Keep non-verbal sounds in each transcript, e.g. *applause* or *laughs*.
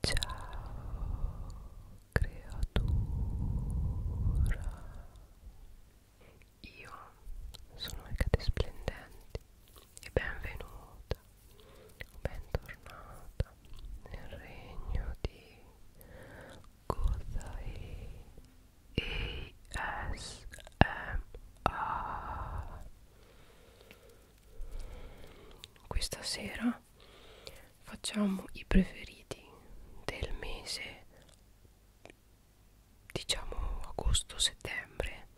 Ciao creatura Io sono Ecate Splendenti e benvenuta o bentornata nel regno di Godai ASMR Questa sera prima facciamo i preferiti del mese diciamo agosto settembre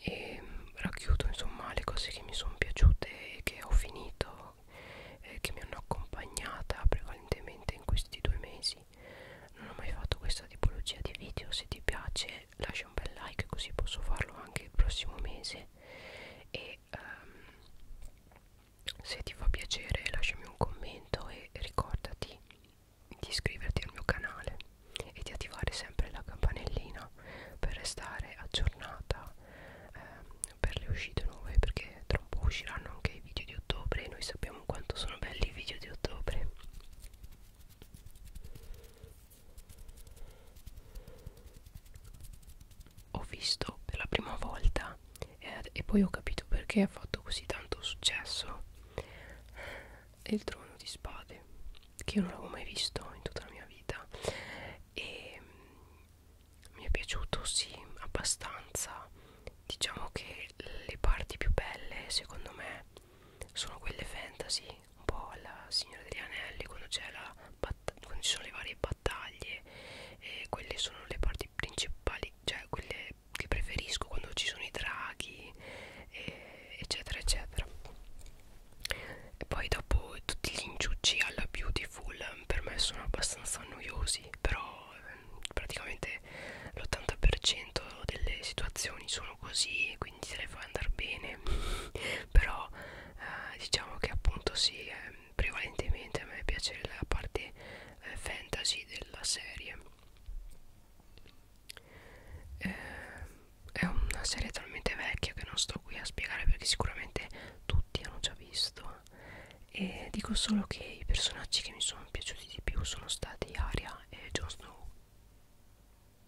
e racchiudo insomma le cose che mi sono piaciute e che ho finito eh, che mi hanno accompagnata prevalentemente in questi due mesi non ho mai fatto questa tipologia di video se ti piace piace lascia un bel like così posso farlo anche il prossimo mese e um, se ti fa piacere lasciami un commento e ricordati di iscriverti al mio canale e di attivare sempre la campanellina per restare aggiornata eh, per le uscite nuove perché tra un po' usciranno anche i video di ottobre e noi sappiamo quanto sono belli i video di ottobre ho visto per la prima volta eh, e poi ho capito perché ha fatto così tanto successo il trono di spade che io non l'avevo mai visto in tutta la mia vita e mm, mi è piaciuto sì abbastanza diciamo che le parti più belle secondo me sono quelle fantasy un po' alla Signora degli Anelli quando, la quando ci sono le varie battaglie e quelle sono le parti principali cioè quelle che preferisco quando ci sono i draghi e, eccetera eccetera e poi dopo tutti gli inciucci alla beautiful per me sono abbastanza noiosi però ehm, praticamente l'80% delle situazioni sono così quindi se le fai andare bene però eh, diciamo che appunto sì eh, prevalentemente a me piace la parte eh, fantasy della serie eh, è una serie talmente vecchia che non sto qui a spiegare perché sicuramente tutti hanno già visto e dico solo che i personaggi che mi sono piaciuti di più sono stati Aria e Jon Snow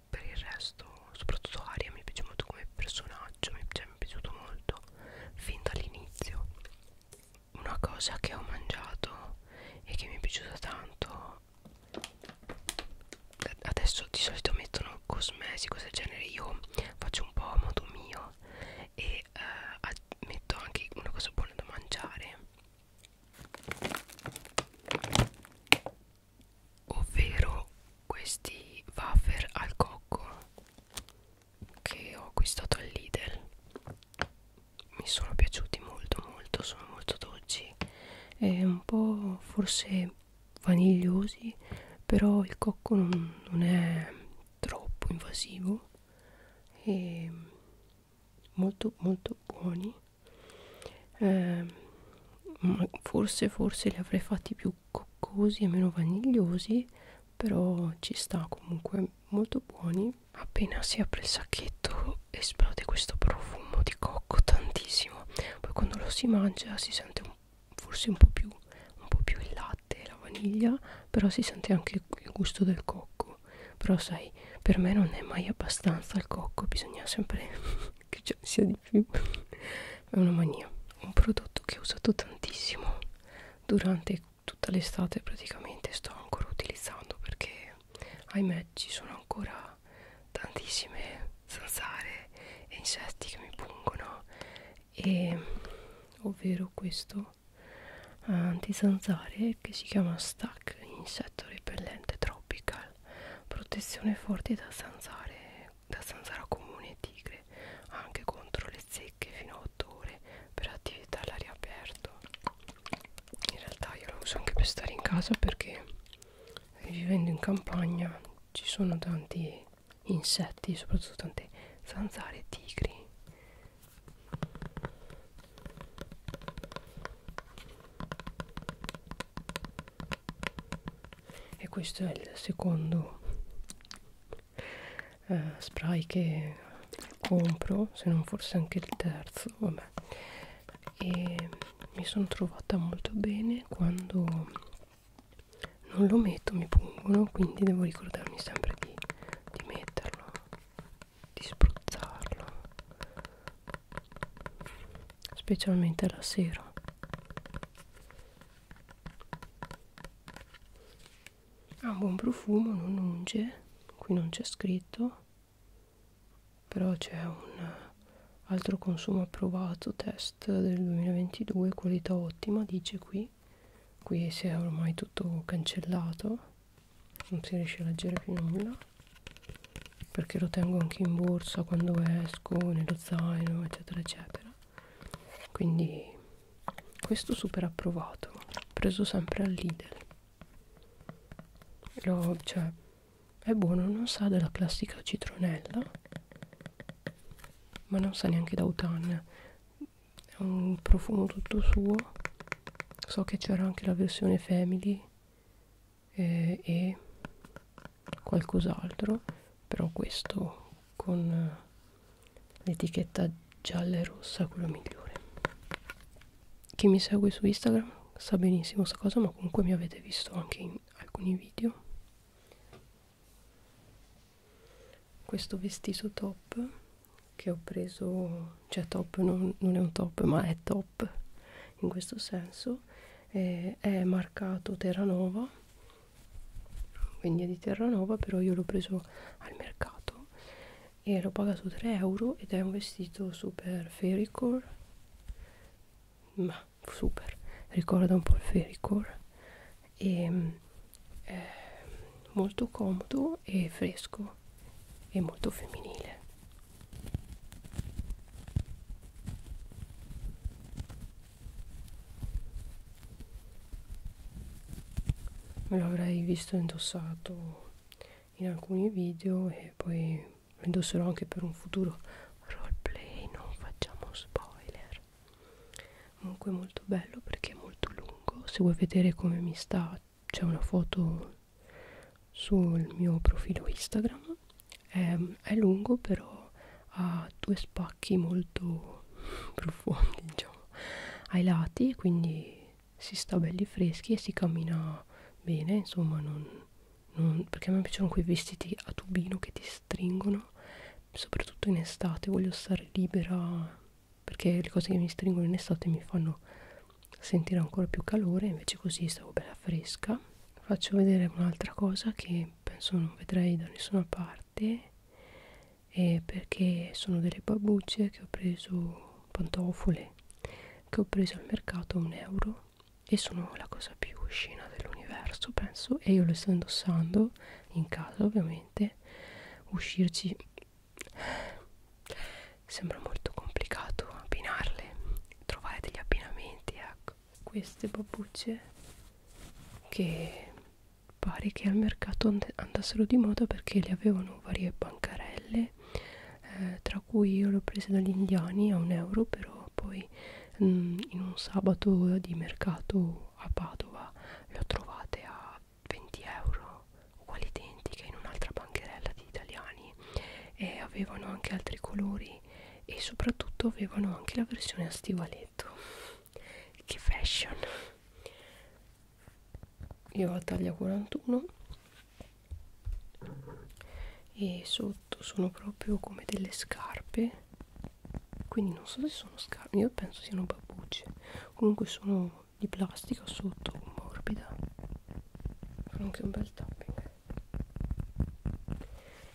per il resto soprattutto Aria mi piace molto come personaggio, mi, cioè, mi è piaciuto molto fin dall'inizio. Una cosa che ho mangiato e che mi è piaciuta tanto, adesso di solito mettono cosmesi, cose del genere, io faccio un po' a modo mio e eh, metto anche una cosa buona da mangiare ovvero questi wafer al cocco che ho acquistato al Lidl mi sono piaciuti molto molto sono molto dolci e un po' forse vanigliosi però il cocco non, non è troppo invasivo e molto molto buoni eh, forse forse li avrei fatti più coccosi e meno vanigliosi però ci sta comunque molto buoni appena si apre il sacchetto esplode questo profumo di cocco tantissimo poi quando lo si mangia si sente un, forse un po' più un po' più il latte e la vaniglia però si sente anche il gusto del cocco però sai per me non è mai abbastanza il cocco bisogna sempre che già sia di più è una mania un prodotto che ho usato tantissimo durante tutta l'estate praticamente sto ancora utilizzando perché ahimè ci sono ancora tantissime zanzare e insetti che mi pungono e ovvero questo antizanzare che si chiama Stack insetto repellente tropical protezione forte da zanzare da zanzara comune e tigre, anche contro le zecche fino a 8 ore per attività all'aria aperta. In realtà io lo uso anche per stare in casa perché vivendo in campagna ci sono tanti insetti, soprattutto tante zanzare e tigri. E questo è il secondo eh, spray che compro se non forse anche il terzo vabbè e mi sono trovata molto bene quando non lo metto mi pungono quindi devo ricordarmi sempre di, di metterlo di spruzzarlo specialmente la sera ha un buon profumo, non unge, qui non c'è scritto, però c'è un altro consumo approvato, test del 2022, qualità ottima, dice qui, qui si è ormai tutto cancellato, non si riesce a leggere più nulla, perché lo tengo anche in borsa quando esco, nello zaino, eccetera, eccetera quindi questo super approvato l'ho preso sempre al Lidl lo, cioè, è buono non sa della classica citronella ma non sa neanche da autunno è un profumo tutto suo so che c'era anche la versione family eh, e qualcos'altro però questo con l'etichetta gialla e rossa quello migliore chi mi segue su Instagram sa benissimo questa cosa ma comunque mi avete visto anche in alcuni video questo vestito top che ho preso cioè top non, non è un top ma è top in questo senso eh, è marcato Terranova quindi è di Terranova però io l'ho preso al mercato e l'ho pagato 3 euro ed è un vestito super fairycore ma super ricorda un po' il fairycore e è eh, molto comodo e fresco e molto femminile me lo avrei visto indossato in alcuni video e poi lo indosserò anche per un futuro roleplay non facciamo spoiler comunque molto bello perché è molto lungo se vuoi vedere come mi sta c'è una foto sul mio profilo instagram è, ehm, è lungo però ha due spacchi molto profondi diciamo ai lati quindi si sta belli freschi e si cammina bene insomma non, non, perché a me piacciono quei vestiti a tubino che ti stringono soprattutto in estate voglio stare libera perché le cose che mi stringono in estate mi fanno sentire ancora più calore invece così stavo bella fresca faccio vedere un'altra cosa che penso non vedrei da nessuna parte parte eh, perché sono delle babbucce che ho preso pantofole che ho preso al mercato a un euro e sono la cosa più scena dell'universo penso e io le sto indossando in casa ovviamente uscirci sembra molto complicato abbinarle trovare degli abbinamenti ecco queste babbucce che pare che al mercato andassero di moda perché le avevano varie bancarelle eh, tra cui io l'ho presa dagli indiani a un euro però poi mh, mm, in un sabato di mercato a Padova le ho trovate a 20 euro uguali identiche in un'altra bancherella di italiani e avevano anche altri colori e soprattutto avevano anche la versione a stivaletto che fashion io ho la taglia 41 e sotto sono proprio come delle scarpe quindi non so se sono scarpe io penso siano babbucce comunque sono di plastica sotto morbida fa anche un bel tapping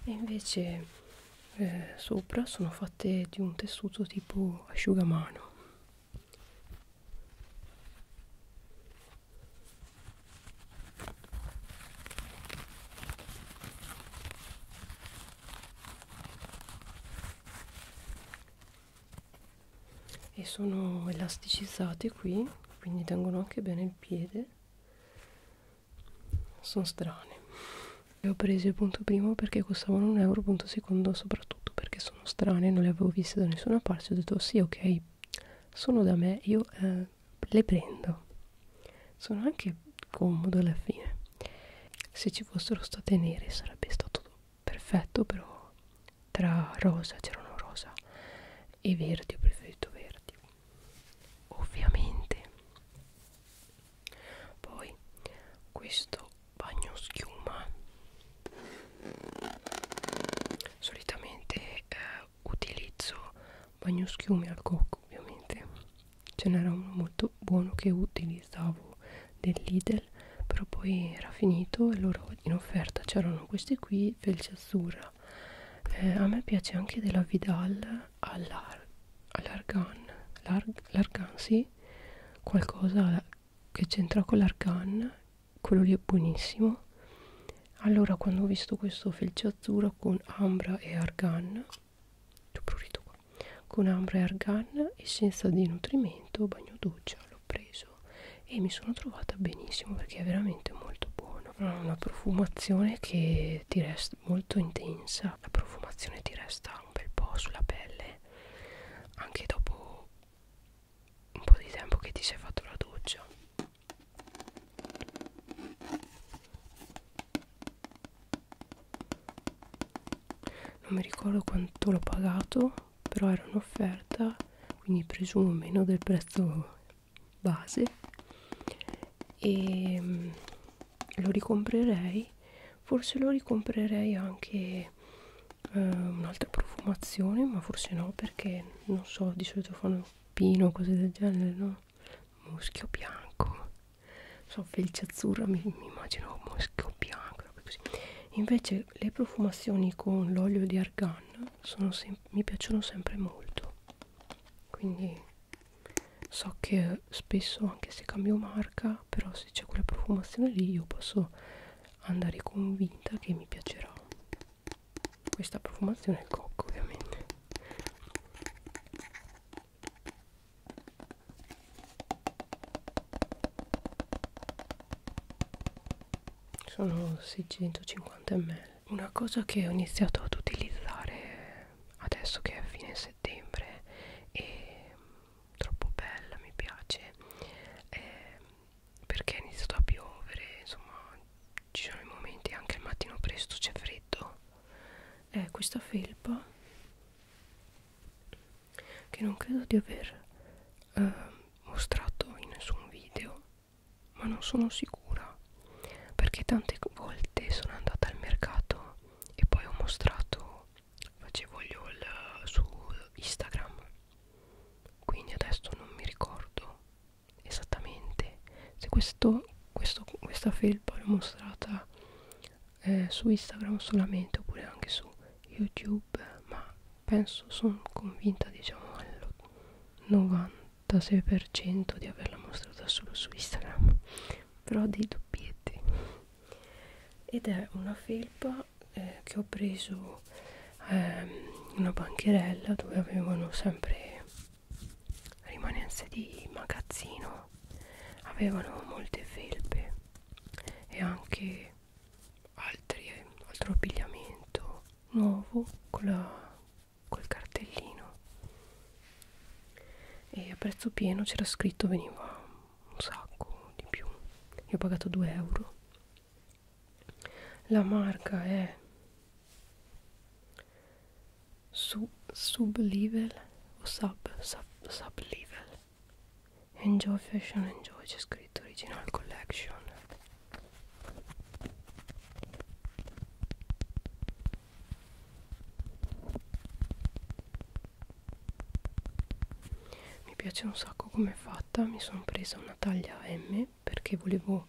e invece eh, sopra sono fatte di un tessuto tipo asciugamano e sono elasticizzate qui quindi tengono anche bene il piede sono strane le ho prese punto primo perché costavano un euro punto secondo soprattutto perché sono strane non le avevo viste da nessuna parte ho detto sì ok sono da me io eh, le prendo sono anche comodo alla fine se ci fossero state nere sarebbe stato perfetto però tra rosa c'erano rosa e verdi ho preferito verdi ovviamente poi questo bagno schiuma solitamente eh, utilizzo bagno schiuma al cocco ovviamente ce n'era uno molto buono che utilizzavo del Lidl però poi era finito e loro in offerta c'erano questi qui felce azzurra eh, a me piace anche della Vidal all'argan, larg, largan sì, qualcosa che c'entra con l'argan quello lì è buonissimo allora quando ho visto questo felce azzurro con ambra e argan prurito qua con ambra e argan essenza di nutrimento bagno doccia l'ho preso e mi sono trovata benissimo perché è veramente molto buono ha una profumazione che ti resta molto intensa la profumazione ti resta un bel po' sulla pelle anche dopo un po' di tempo che ti sei fatto la doccia non mi ricordo quanto l'ho pagato però era un'offerta quindi presumo meno del prezzo base e ehm, lo ricomprerei forse lo ricomprerei anche eh, un'altra profumazione ma forse no perché non so di solito fanno pino cose del genere no muschio bianco so felce azzurra mi, mi immagino muschio bianco così. invece le profumazioni con l'olio di argan sono mi piacciono sempre molto quindi so che spesso anche se cambio marca però se c'è quella profumazione lì io posso andare convinta che mi piacerà questa profumazione è cocco ovviamente sono 650 ml una cosa che ho iniziato ad utilizzare adesso che è fine settembre e troppo bella, mi piace eh, perché è iniziato a piovere, insomma ci sono i momenti anche il mattino presto c'è freddo è eh, questa felpa che non credo di aver eh, mostrato in nessun video ma non sono sicura perché tante volte sono andata al mercato e poi ho mostrato facevo gli haul eh, su Instagram quindi adesso non mi ricordo esattamente se questo, questo, questa felpa l'ho mostrata eh, su Instagram solamente oppure anche su YouTube ma penso sono convinta diciamo al 96% di averla mostrata solo su Instagram però dei dubbietti ed è una felpa eh, che ho preso eh, una bancherella dove avevano sempre rimanenze di magazzino avevano molte felpe e anche altri, altro abbigliamento nuovo con la, col cartellino e a prezzo pieno c'era scritto veniva un sacco di più io ho pagato 2 euro la marca è su, sub level o sub sub, sub level enjoy fashion enjoy c'è scritto original collection mi piace un sacco come è fatta mi sono presa una taglia M perché volevo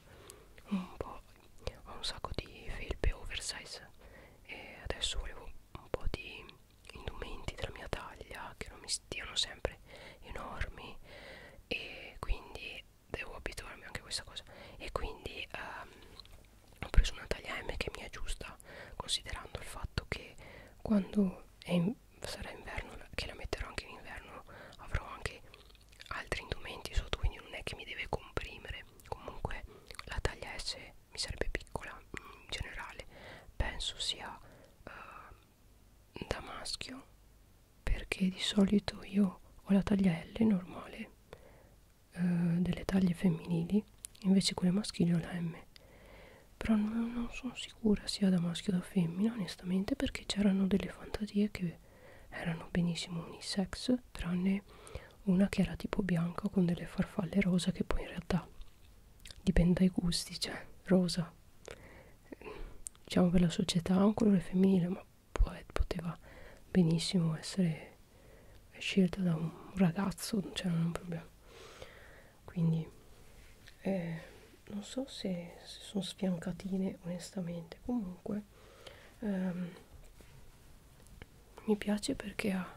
un po' ho un sacco di felpe oversize e adesso volevo un po' di indumenti della mia taglia che non mi stiano sempre enormi e quindi devo abituarmi anche a questa cosa e quindi ehm, ho preso una taglia M che mi è giusta considerando il fatto che quando è in, sarà inverno che la metterò anche in inverno avrò anche altri indumenti sotto quindi non è che mi deve comprimere comunque la taglia S mi sarebbe piccola mm, in generale penso sia uh, da maschio perché di solito io ho la taglia L normale uh, delle taglie femminili invece quelle maschili ho la M però non, non sono sicura sia da maschio o da femmina onestamente perché c'erano delle fantasie che erano benissimo unisex tranne una che era tipo bianca con delle farfalle rosa che poi in realtà dipende dai gusti cioè rosa diciamo per la società ha un colore femminile ma poteva benissimo essere scelta da un ragazzo cioè non c'era un problema quindi eh, non so se, se sono sfiancatine onestamente comunque ehm, mi piace perché ha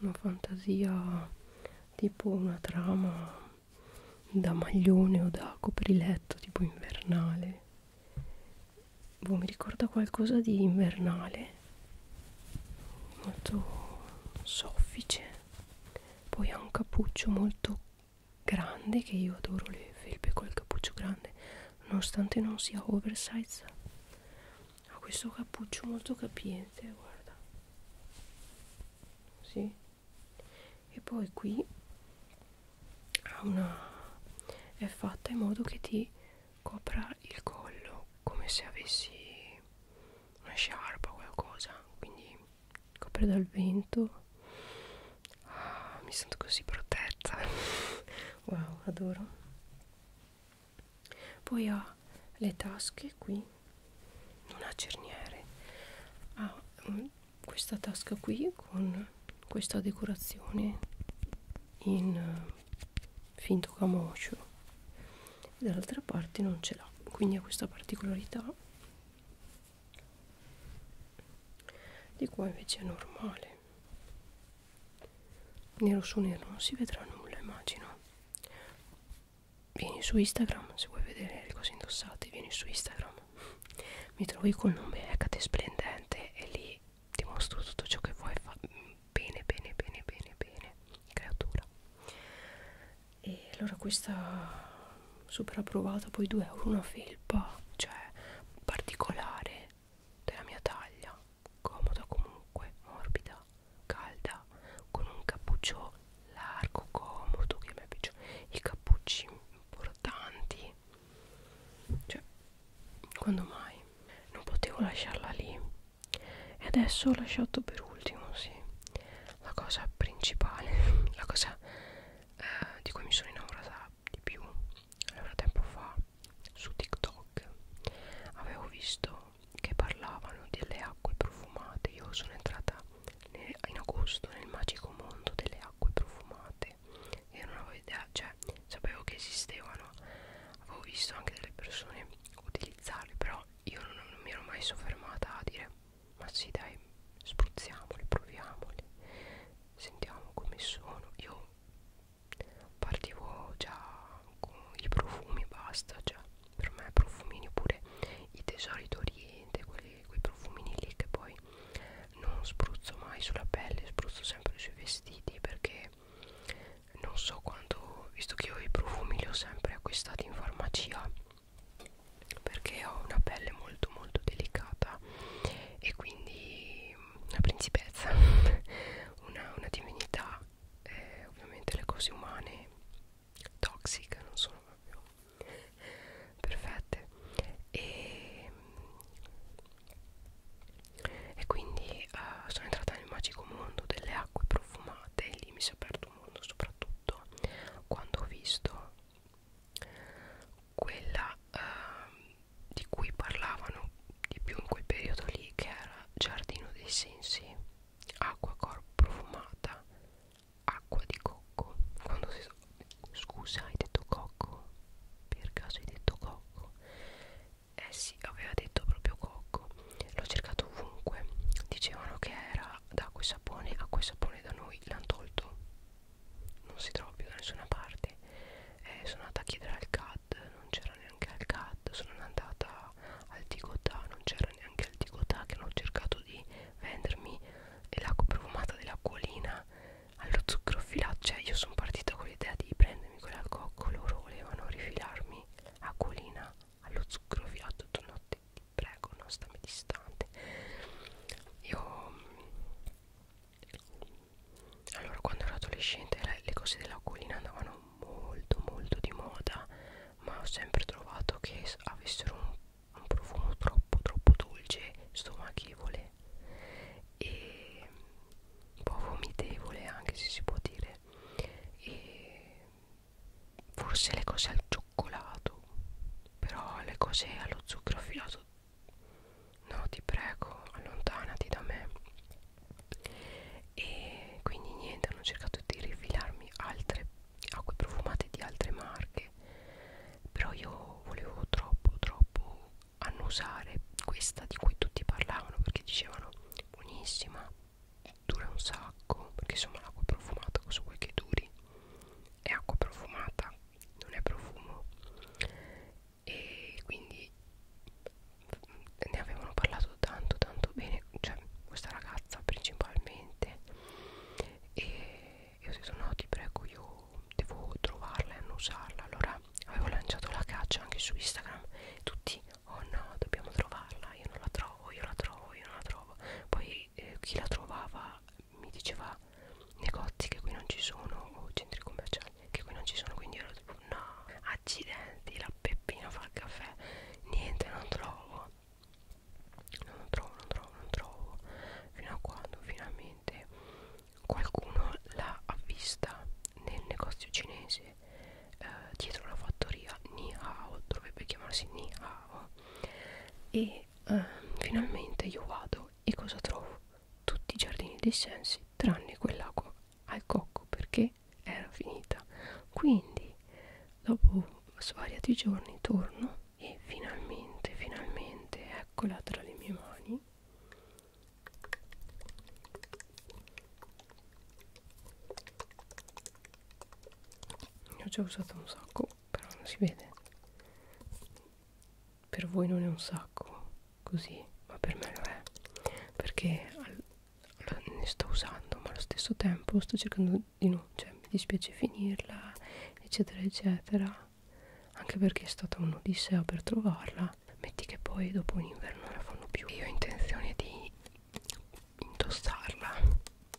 una fantasia tipo una trama da maglione o da copriletto tipo invernale boh, mi ricorda qualcosa di invernale molto soffice poi ha un cappuccio molto grande che io adoro le felpe col cappuccio grande nonostante non sia oversize ha questo cappuccio molto capiente guarda sì. e poi qui ha una è fatta in modo che ti copra il collo come se avessi una sciarpa qualcosa quindi copre dal vento ah, mi sento così protetta *laughs* wow adoro poi ho le tasche qui non ha cerniere ha um, questa tasca qui con questa decorazione in uh, finto camoscio dall'altra parte non ce l'ha quindi ha questa particolarità di qua invece è normale nero su nero non si vedrà nulla immagino vieni su instagram se vuoi vedere le cose indossate vieni su instagram mi trovi col nome Hecate Splendente e lì ti mostro tutto ciò che vuoi bene bene bene bene bene creatura e allora questa super approvata poi 2 euro una felpa cioè particolare della mia taglia comoda comunque morbida calda con un cappuccio largo comodo che a me piace i cappucci importanti cioè quando mai non potevo lasciarla lì e adesso ho lasciato per ultimo sì la cosa principale *laughs* la cosa eh, di cui mi sono innamorata di più allora tempo fa su TikTok avevo visto che parlavano delle acque profumate io sono entrata nel, in agosto nel magico mondo delle acque profumate io non avevo idea cioè sapevo che esistevano avevo visto anche delle persone utilizzarle però io non, non mi ero mai soffermata a dire ma sì dai spruzziamoli proviamoli sentiamo come sono io partivo già con i profumi basta già cioè, per me profumini oppure i tesori d'oriente quelli, quei profumini lì che poi non spruzzo mai sulla pelle spruzzo sempre sui vestiti perché non so quanto visto che io i profumi li ho sempre acquistati in farmacia perché ho una pelle molto molto delicata e quindi una mm, principessa *laughs* una, una divinità eh, ovviamente le cose umane toxiche non sono proprio perfette e, mm, e quindi eh, sono entrata nel magico mondo delle acque profumate e lì mi si è aperto questo mondo soprattutto quando ho visto quella eh, di cui parlavano di più in quel periodo lì che era giardino dei sensi acqua corpo profumata acqua di cocco quando si scusa hai detto cocco per caso hai detto cocco eh sì aveva detto proprio cocco l'ho cercato ovunque dicevano che era da acqua e sapone acqua e sapone da noi l'hanno tolto non si trova più da nessuna parte eh, sono andata a chiedere al CAD non c'era neanche al CAD sono andata al Tigotà non c'era neanche al Tigotà che hanno cercato di vendermi l'acqua profumata dell'acquolina allo zucchero filato cioè io sono partita con l'idea di prendermi quella al cocco loro volevano rifilarmi acquolina allo zucchero fiato tu notte ti prego non stammi distante io mm, allora quando ero adolescente le, le cose della colina andavano molto molto di moda ma ho sempre trovato che avessero un, un profumo troppo troppo dolce stomachevole e un po' vomitevole anche se si può dire e forse le cose al cioccolato però le cose allo zucchero filato no ti prego allontanati da me e quindi niente hanno cercato di rifilarmi altre acque profumate di altre marche però io volevo troppo troppo annusare questa di cui tutti parlavano perché dicevano buonissima dura un sacco perché insomma l'acqua profumata cosa vuoi che duri è acqua profumata non è profumo e quindi ne avevano parlato tanto tanto bene cioè questa ragazza principalmente e, e ho detto no ti prego io devo trovarla e non usarla allora avevo lanciato la caccia anche su Instagram tutti oh no dobbiamo trovarla io non la trovo io la trovo io non la trovo trova poi eh, chi la trovava mi diceva negozi che qui non ci sono o centri commerciali che qui non ci sono quindi ero tipo no accidenti la peppina fa il caffè niente non trovo non trovo non trovo non trovo fino a quando finalmente qualcuno l'ha vista nel negozio cinese eh, dietro la fattoria Nihao dovrebbe chiamarsi Nihao e eh, finalmente io vado e cosa trovo? Tutti i giardini dei sensi tranne quell'acqua al cocco perché era finita. Quindi dopo svariati giorni torno e finalmente, finalmente eccola tra le mie mani ne ho già usato un sacco però non si vede per voi non è un sacco così ma per me lo è perché al, al, ne sto usando ma allo stesso tempo sto cercando di no cioè mi dispiace finirla eccetera eccetera anche perché è stata un'odissea per trovarla metti che poi dopo un inverno non la fanno più io ho intenzione di indossarla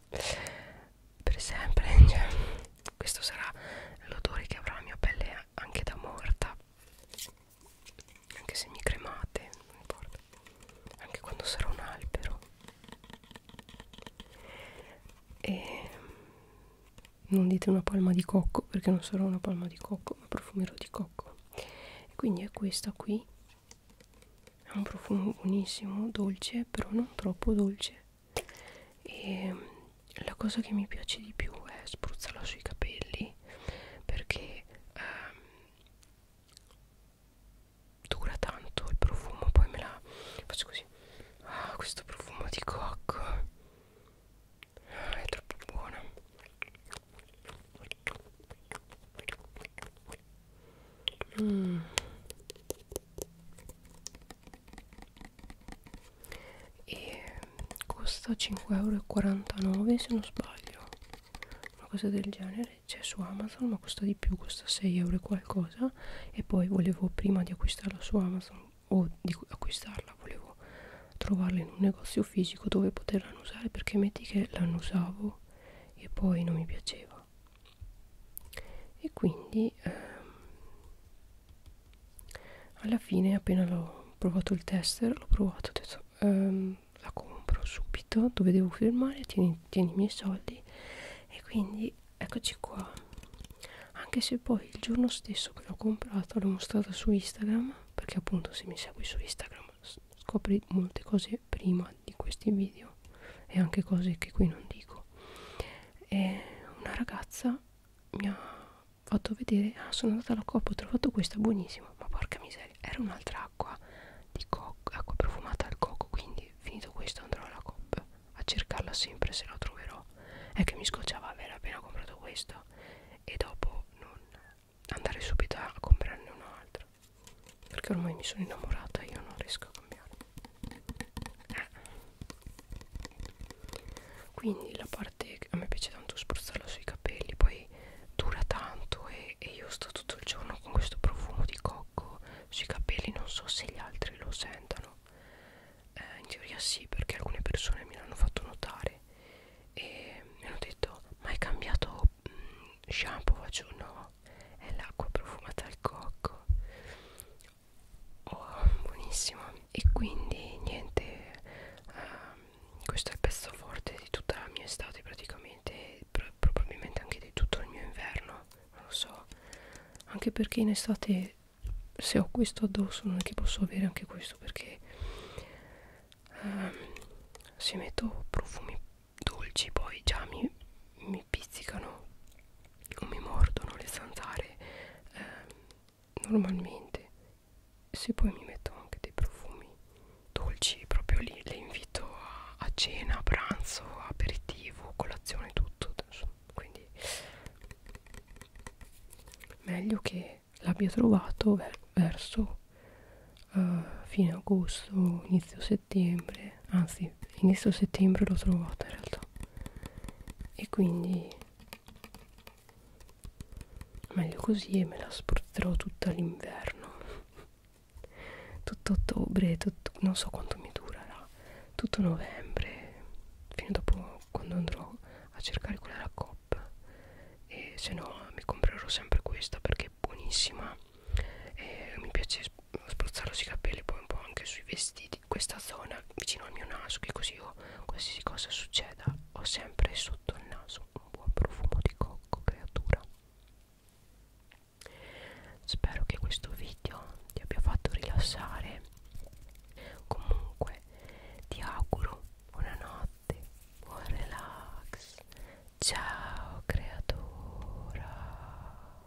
per sempre *laughs* cioè, questo sarà l'odore che avrà la mia pelle anche da morta anche se mi cremate non importa anche quando sarò un albero e non dite una palma di cocco perché non sarò una palma di cocco ma profumerò di cocco e quindi è questa qui ha un profumo buonissimo, dolce, però non troppo dolce e mm, la cosa che mi piace di più è spruzzarlo sui capelli perché ehm, dura tanto il profumo poi me la faccio così ah questo profumo di cocco ah, è troppo buono Mm. E costa 5,49€ se non sbaglio, una cosa del genere. C'è su Amazon, ma costa di più, costa 6 euro e qualcosa. E poi volevo prima di acquistarla su Amazon o di acquistarla, volevo trovarla in un negozio fisico dove poterla usare perché metti che la usavo e poi non mi piaceva e quindi ehm, alla fine appena l'ho provato il tester l'ho provato ho detto ehm, la compro subito dove devo firmare tieni, tieni i miei soldi e quindi eccoci qua anche se poi il giorno stesso che l'ho comprata l'ho mostrata su Instagram perché appunto se mi segui su Instagram scopri molte cose prima di questi video e anche cose che qui non dico e una ragazza mi ha fatto vedere ah sono andata alla coppa ho trovato questa buonissima ma porca miseria era un'altra acqua di cocco acqua profumata al cocco quindi finito questo andrò alla coppa a cercarla sempre se la troverò è che mi scocciava aver appena comprato questo e dopo non andare subito a comprarne un altro perché ormai mi sono innamorata e io non riesco a cambiare quindi la parte che a me piace tanto spruzzarla sui capelli poi dura tanto e, e io sto tutto il giorno con questo profumo di cocco sui capelli non so se gli altri lo sentano eh, in teoria sì perché alcune persone mi l'hanno fatto notare e mi hanno detto ma hai cambiato mh, mm, shampoo faccio no no è l'acqua profumata al cocco oh buonissimo e quindi niente uh, questo è il pezzo forte di tutta la mia estate praticamente pro probabilmente anche di tutto il mio inverno non lo so anche perché in estate se ho questo addosso non è che posso avere anche questo perché um, se metto profumi dolci poi già mi, mi mi pizzicano o mi mordono le zanzare eh, normalmente se poi mi metto anche dei profumi dolci proprio lì le invito a, a cena, a pranzo, aperitivo, colazione, tutto quindi meglio che l'abbia trovato ver verso uh, fine agosto, inizio settembre settembre anzi inizio settembre l'ho trovata in realtà e quindi meglio così e me la spruzzerò tutta l'inverno *laughs* tutto ottobre tutto, non so quanto mi durerà tutto novembre fino dopo quando andrò a cercare quella la coppa e se no mi comprerò sempre questa perché è buonissima e mi piace spruzzarlo sui capelli poi un po' anche sui vestiti questa zona vicino al mio naso che così io qualsiasi cosa succeda ho sempre sotto il naso un buon profumo di cocco creatura spero che questo video ti abbia fatto rilassare comunque ti auguro buonanotte buon relax ciao creatura